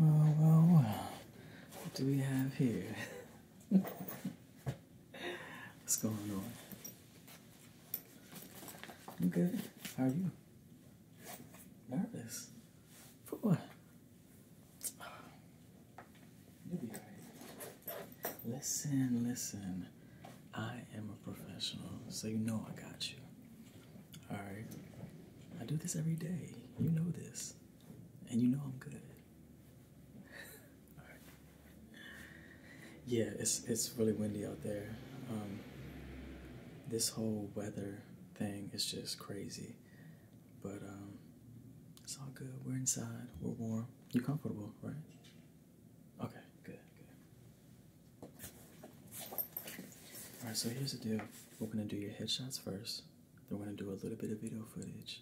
Well, well, well. What do we have here? What's going on? I'm good. How are you? Nervous. For what? Listen, listen. I am a professional, so you know I got you. Alright? I do this every day. You know this. And you know I'm good. Yeah, it's it's really windy out there. Um, this whole weather thing is just crazy. But um, it's all good. We're inside. We're warm. You're comfortable, right? Okay, good, good. All right, so here's the deal. We're gonna do your headshots first. Then we're gonna do a little bit of video footage,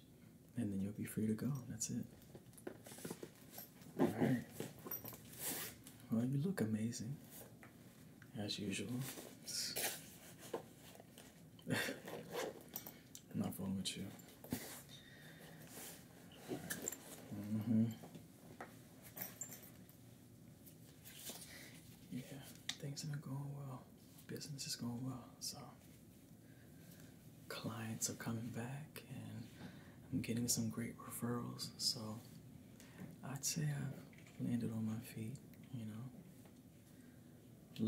and then you'll be free to go. That's it. All right. Well, you look amazing, as usual. Not wrong with you. Mm hmm Yeah, things have been going well. Business is going well, so clients are coming back, and I'm getting some great referrals. So I'd say I've landed on my feet, you know,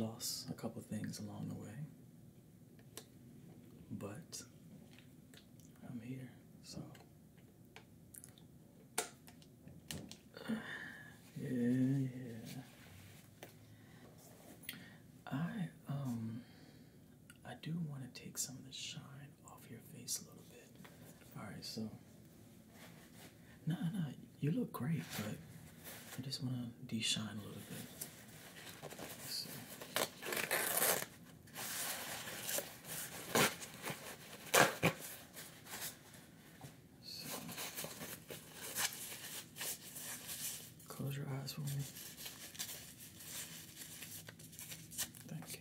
lost a couple things along the way, but I'm here, so. Yeah, yeah. I um I do want to take some of the shine off your face a little bit. Alright, so. Nah, nah, you look great, but I just want to de shine a little bit. So. Close your eyes for me. Thank you.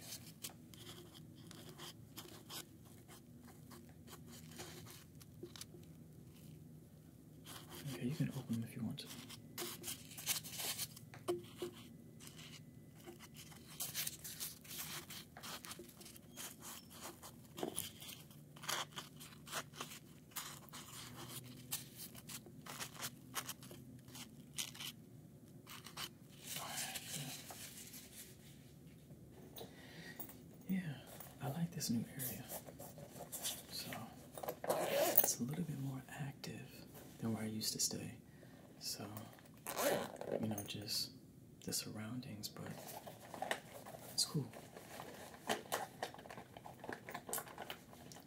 Okay, you can open them if you want yeah, I like this new area. So it's a little bit more active than where I used to stay. So you know, just the surroundings, but it's cool.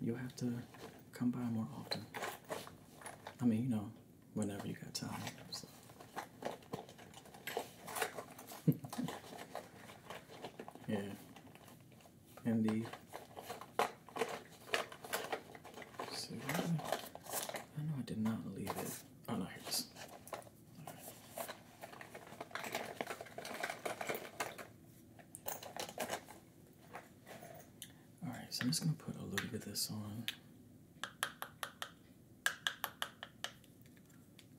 You'll have to come by more often. I mean, you know, whenever you got time. yeah. Indeed. So, I know I did not leave it. Oh no, here it is. All right, so I'm just going to put a little bit of this on.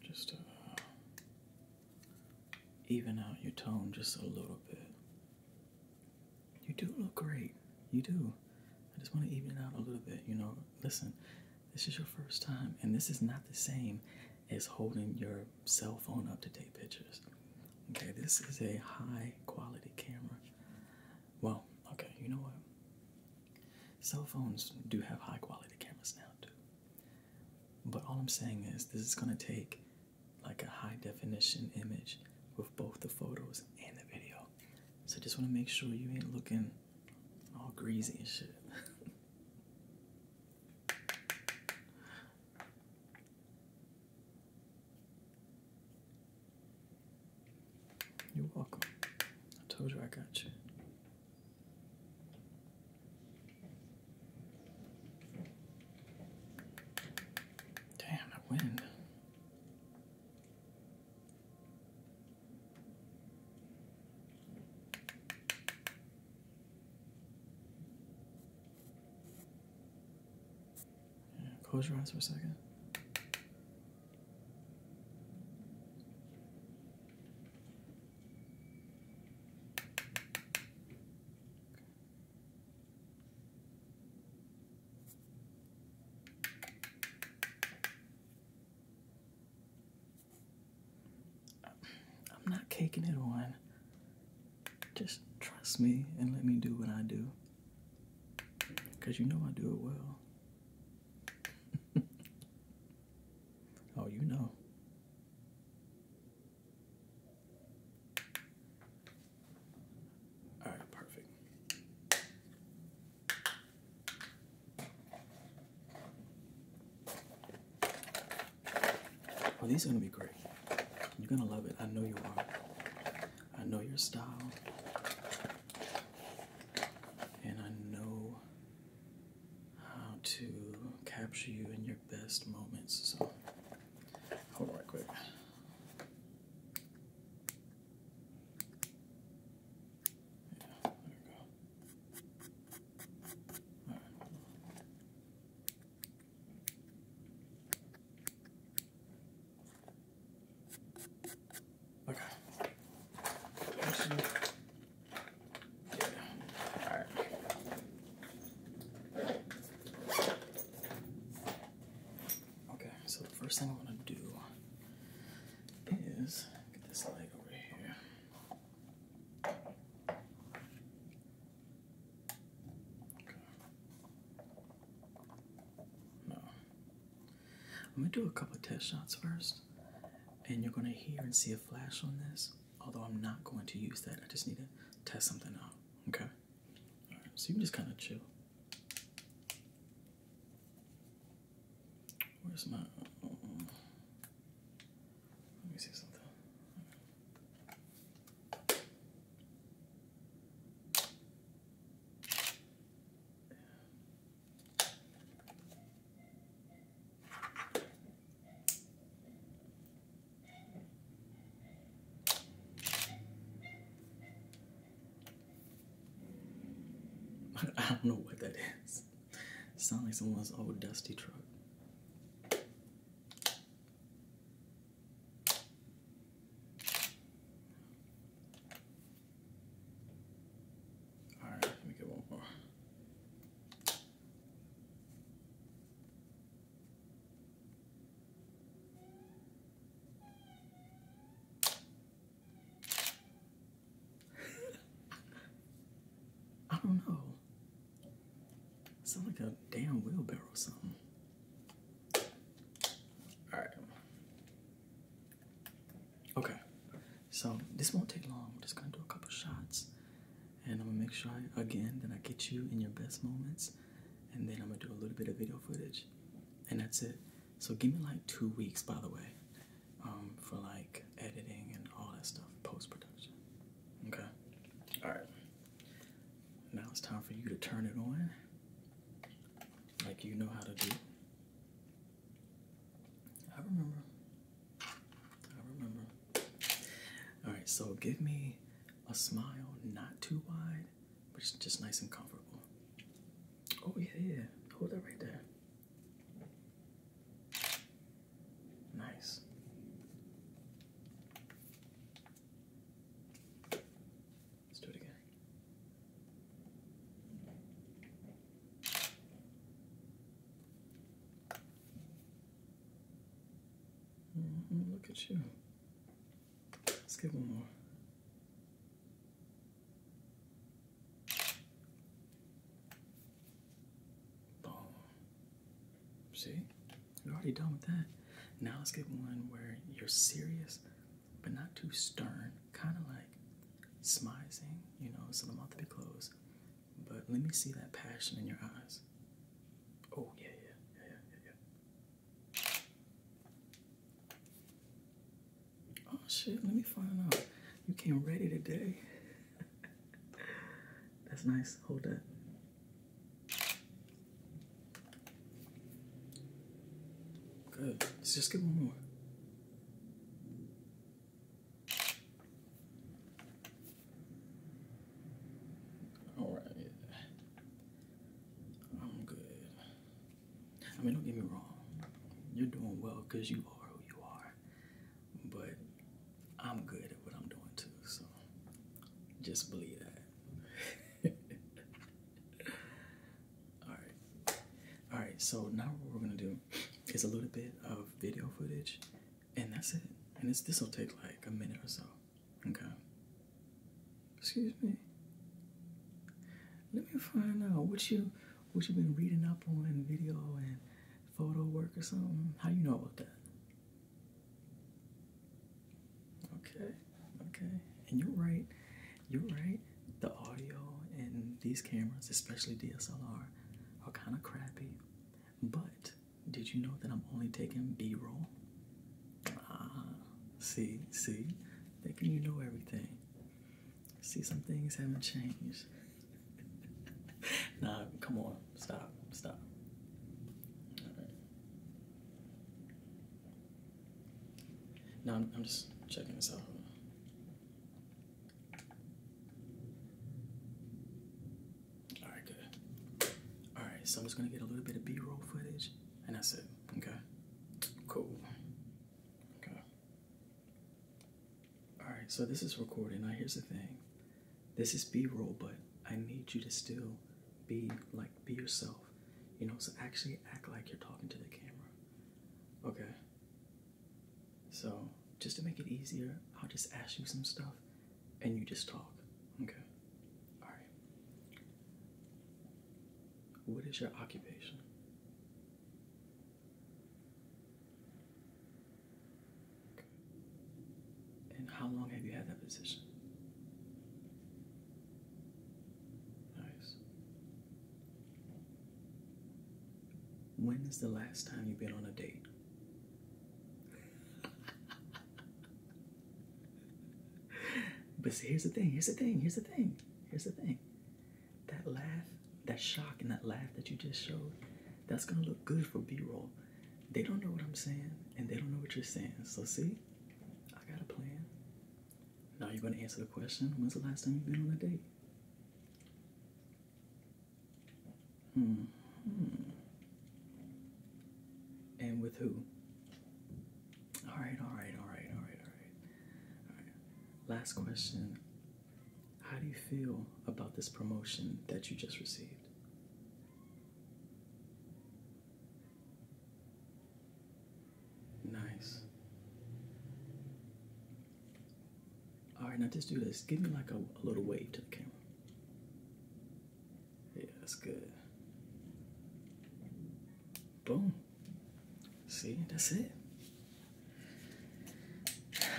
Just to uh, even out your tone just a little bit. You do look great. You do. I just want to even it out a little bit. You know, listen, this is your first time, and this is not the same as holding your cell phone up to take pictures. Okay, this is a high quality camera. Well, okay, you know what? Cell phones do have high quality cameras now, too. But all I'm saying is, this is going to take like a high definition image with both the photos and the video. So I just want to make sure you ain't looking all greasy and shit. You're welcome. I told you I got you. Damn, that wind close your eyes for a second. I'm not caking it on. Just trust me and let me do what I do. Because you know I do it well. oh, you know. All right, perfect. Well, these are going to be great. You're going to love it. I know you are. I know your style, and I know how to capture you in your best moments. So, hold on, quick. Yeah, there we go. All right. Okay. All right. Okay, so the first thing I'm gonna do is get this leg over here. No. I'm gonna do a couple of test shots first, and you're gonna hear and see a flash on this. Although I'm not going to use that, I just need to test something out. Okay. So you can just kind of chill. Where's my? let me see something. I don't know what that is. Sounds like someone's old dusty truck. Alright, let me get one more. I don't know. Sound like a damn wheelbarrow or something. All right. Okay. So this won't take long. We're just gonna do a couple shots, and I'm gonna make sure I, again that I get you in your best moments, and then I'm gonna do a little bit of video footage, and that's it. So give me like two weeks, by the way, um, for like editing and all that stuff, post production. Okay. All right. Now it's time for you to turn it on like you know how to do. I remember. I remember. All right, so give me a smile not too wide, but just nice and comfortable. Oh, yeah, Hold that right there. Nice. Let's do it again. Mm-hmm, look at you. Let's give one more. Boom. See? You're already done with that. Now let's get one where you're serious but not too stern. Kind of like smizing, you know, so I'm about to be closed. But let me see that passion in your eyes. Oh, yeah, yeah, yeah, yeah, yeah, yeah. Oh, shit, let me find out. You came ready today. That's nice. Hold that. Good. Let's just get one more. All right. I'm good. I mean, don't get me wrong. You're doing well because you are who you are. But I'm good at what I'm doing too. So just believe that. all right, all right. So now what we're gonna do is a little bit of video footage, and that's it. And this this will take like a minute or so. Okay. Excuse me. Let me find out what you what you have been reading up on video and photo work or something. How you know about that? Okay, okay. And you're right, you're right. The audio and these cameras, especially DSLR, are kind of crappy. But did you know that I'm only taking B roll? Ah, see, see, thinking you know everything. See, some things haven't changed. nah, come on stop, stop. Right. No, I'm, I'm just checking this out. Alright, good. Alright, so I'm just gonna get a little bit of B-roll footage, and that's it, okay? Cool. Okay. Alright, so this is recording Now here's the thing this is b-roll but i need you to still be like be yourself you know so actually act like you're talking to the camera okay so just to make it easier i'll just ask you some stuff and you just talk okay all right what is your occupation and how long have you had that position? Nice. When is the last time you've been on a date? but see, here's the thing, here's the thing, here's the thing, here's the thing. That laugh, that shock, and that laugh that you just showed, that's gonna look good for B roll they don't know what I'm saying and they don't know what you're saying. So, see, I got a plan. Now you're going to answer the question when's the last time you've been on a date? Hmm. And with who? All right, all right, all right, all right, all right. All right. Last question. How do you feel about this promotion that you just received? Nice. All right, now just do this. Give me like a, little wave to the camera. Yeah, that's good. Boom. See, that's it.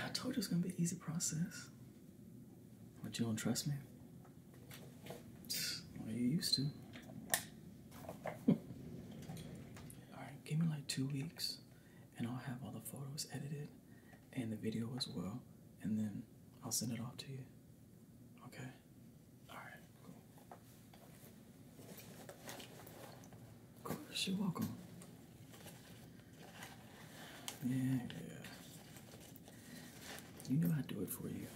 I told you it's gonna be an easy process. Would you trust me? Well, you used to. All right, give me like two weeks, and I'll have all the photos edited and the video as well, and then I'll send it off to you. Okay. All right. Of course, you're welcome. Yeah, yeah. You know i do it for you.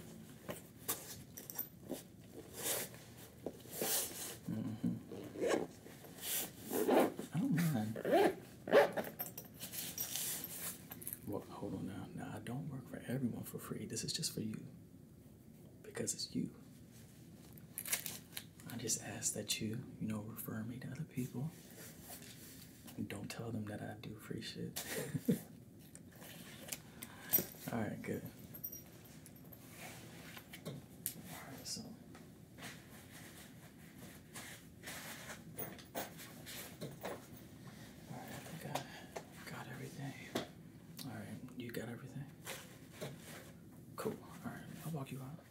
Mm-hmm. I don't mind. Well, hold on now. Now, I don't work for everyone for free. This is just for you. Because it's you. I just ask that you, you know, refer me to other people. Don't tell them that I do free shit. All right, good. All right, so. All right, I think got everything. All right, you got everything? Cool. All right, I'll walk you out.